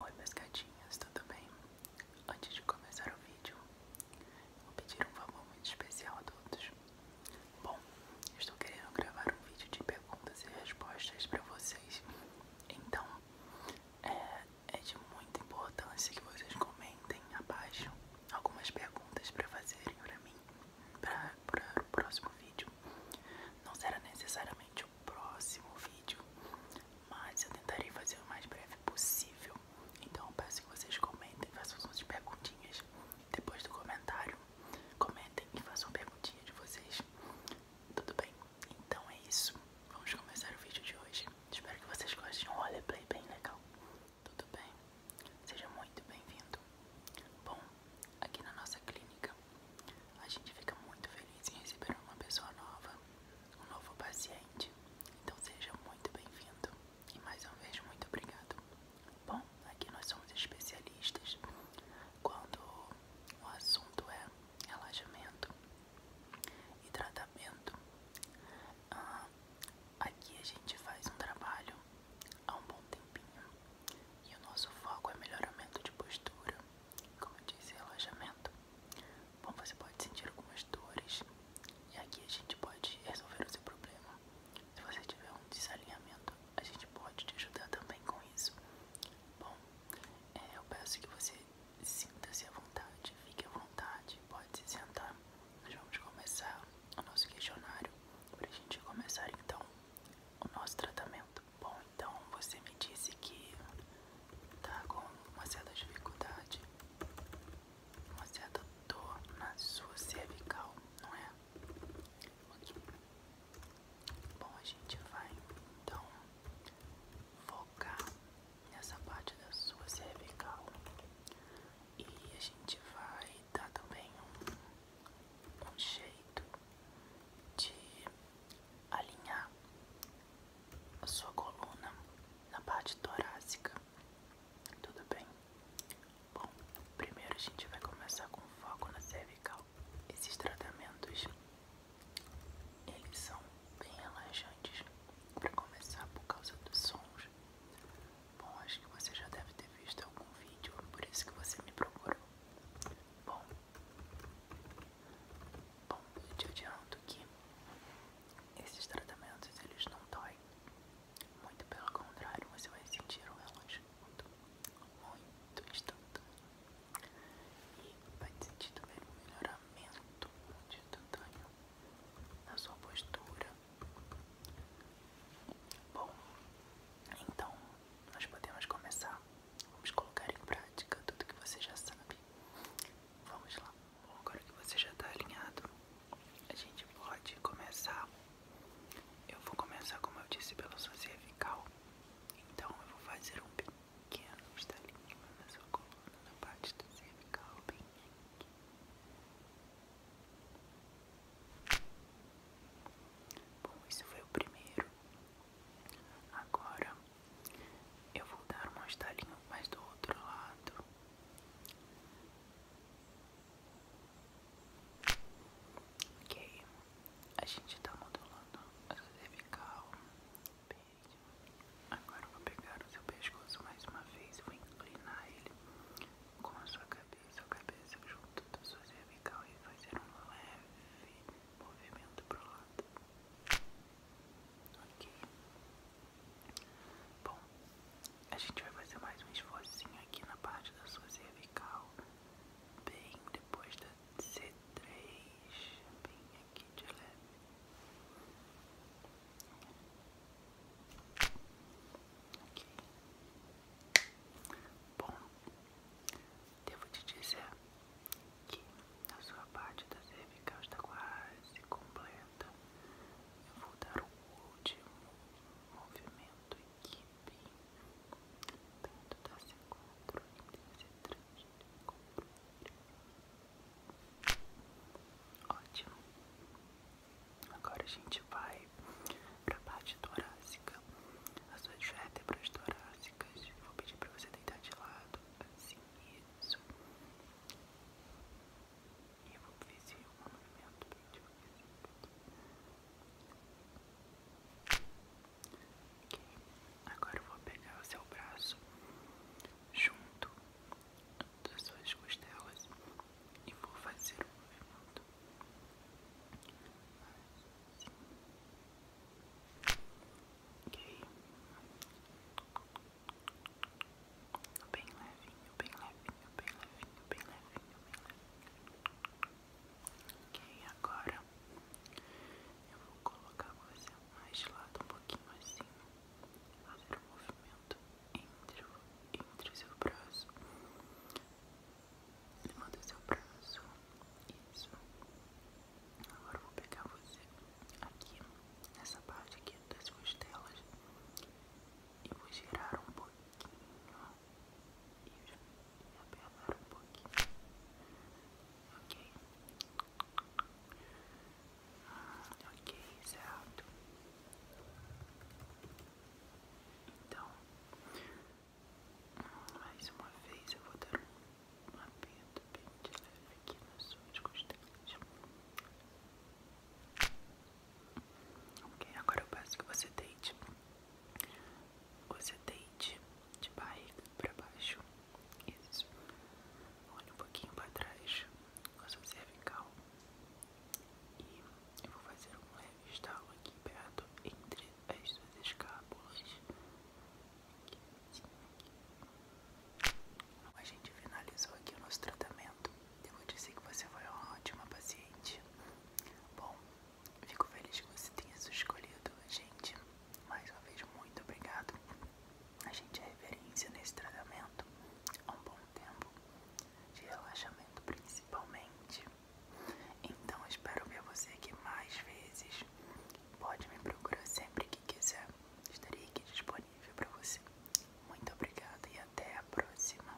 Oi meus gatinhos, tudo bem? Antes de começar o vídeo, vou pedir um favor muito especial a todos. Bom, estou querendo gravar um vídeo de perguntas e respostas para vocês. Então, é, é, de muita importância que vocês comentem abaixo algumas perguntas para fazerem para mim para o próximo vídeo. Não será necessariamente próximo vídeo, mas eu tentarei fazer o mais breve possível. Então peço que vocês comentem, façam suas perguntinhas depois do comentário. Comentem e façam perguntinha de vocês. Tudo bem? Então é isso. Vamos começar o vídeo de hoje. Espero que vocês gostem de um roleplay bem legal. Tudo bem? Seja muito bem-vindo. Bom, aqui na nossa clínica a gente fica muito feliz em receber uma pessoa nova, um novo paciente. Então seja muito bem-vindo. E mais uma vez, muito obrigado. Bom, aqui nós somos especialistas quando o assunto é relaxamento e tratamento. Ah, aqui a gente faz um trabalho há um bom tempinho e o nosso foco é melhoramento de postura, como eu disse, relaxamento. Bom, você pode sentir algumas dores e aqui a gente pode resolver o seu problema. Se você tiver um desalinhamento, a gente pode te ajudar também com isso. Bom, é, eu peço que você sinta-se à vontade, fique à vontade, pode se sentar. Nós vamos começar o nosso questionário para a gente começar então o nosso tratamento. Bom, então você me disse que tá com uma certa dificuldade, uma certa dor na sua cervical, não é? Okay. Bom, a gente vai então focar nessa parte da sua cervical e a gente vai dar também um um jeito de alinhar a sua coluna na parte torácica, tudo bem? Bom, primeiro a gente vai começar com foco na cervical. Esses tratamentos eles são bem relaxantes para começar por causa dos sons Bom, acho que você já deve ter visto algum vídeo, por isso que você me procurou. Bom, bom eu te adianto que esses tratamentos eles não doem. Muito pelo contrário, você vai sentir um relaxamento muito instantâneo. E vai sentir também um melhoramento instantâneo na sua postura, Bom, então nós podemos começar. Vamos colocar em prática tudo que você já sabe. Vamos lá. agora que você já está alinhado, a gente pode começar. Eu vou começar, como eu disse, pela sua cervical. Então eu vou fazer um pequeno estalinho na sua coluna, na parte da cervical, bem aqui. Bom, isso foi o primeiro. Agora eu vou dar uma estalinha mais do outro lado. Ok, a gente tá modulando a cervical Agora eu vou pegar o seu pescoço mais uma vez e vou inclinar ele com a sua cabeça, a cabeça junto da sua cervical e fazer um leve movimento para o lado. Ok. Bom, a gente vai fazer mais um esforcinho aqui na parte da sua cervical, bem depois da C3, bem aqui de leve. Aqui. Bom, devo te dizer que a sua parte da cervical está quase completa. Eu vou dar o último movimento aqui bem tanto da C4 e 3 4 Ótimo. Agora a gente vai para a parte torácica. As suas vértebras torácicas. Vou pedir para você deitar de lado. Assim, isso. E eu vou ver se um movimento bem Okay. Agora eu vou pegar o seu braço junto das suas costelas e vou fazer um movimento. Assim. Ok. Bem levinho, bem levinho, bem levinho, bem levinho, bem levinho. Ok, agora eu vou colocar você mais de lado um pouquinho assim, fazer um movimento entre, entre o seu braço, levanta o seu braço, isso. Agora eu vou pegar você aqui, nessa parte aqui das costelas, e vou girar um pouquinho, e apelar um pouquinho, ok? ok, certo. Então, mais uma vez eu vou dar um apito bem de leve aqui nas suas costelas. Ok, agora eu peço que você deite você deite de baixo para baixo. Isso. Olhe um pouquinho para trás com a sua cervical. E eu vou fazer um leve estalo aqui perto entre as duas escápulas. Aqui, assim, A gente finalizou aqui o nosso tratamento. Devo dizer que você foi uma ótima paciente. Bom, Fico feliz que você tenha se escolhido, gente. Mais uma vez, muito obrigado. A gente é referência nesse tratamento há um bom tempo, de relaxamento principalmente. Então, espero ver você aqui mais vezes. Pode me procurar sempre que quiser. Estarei aqui disponível para você. Muito obrigado e até a próxima.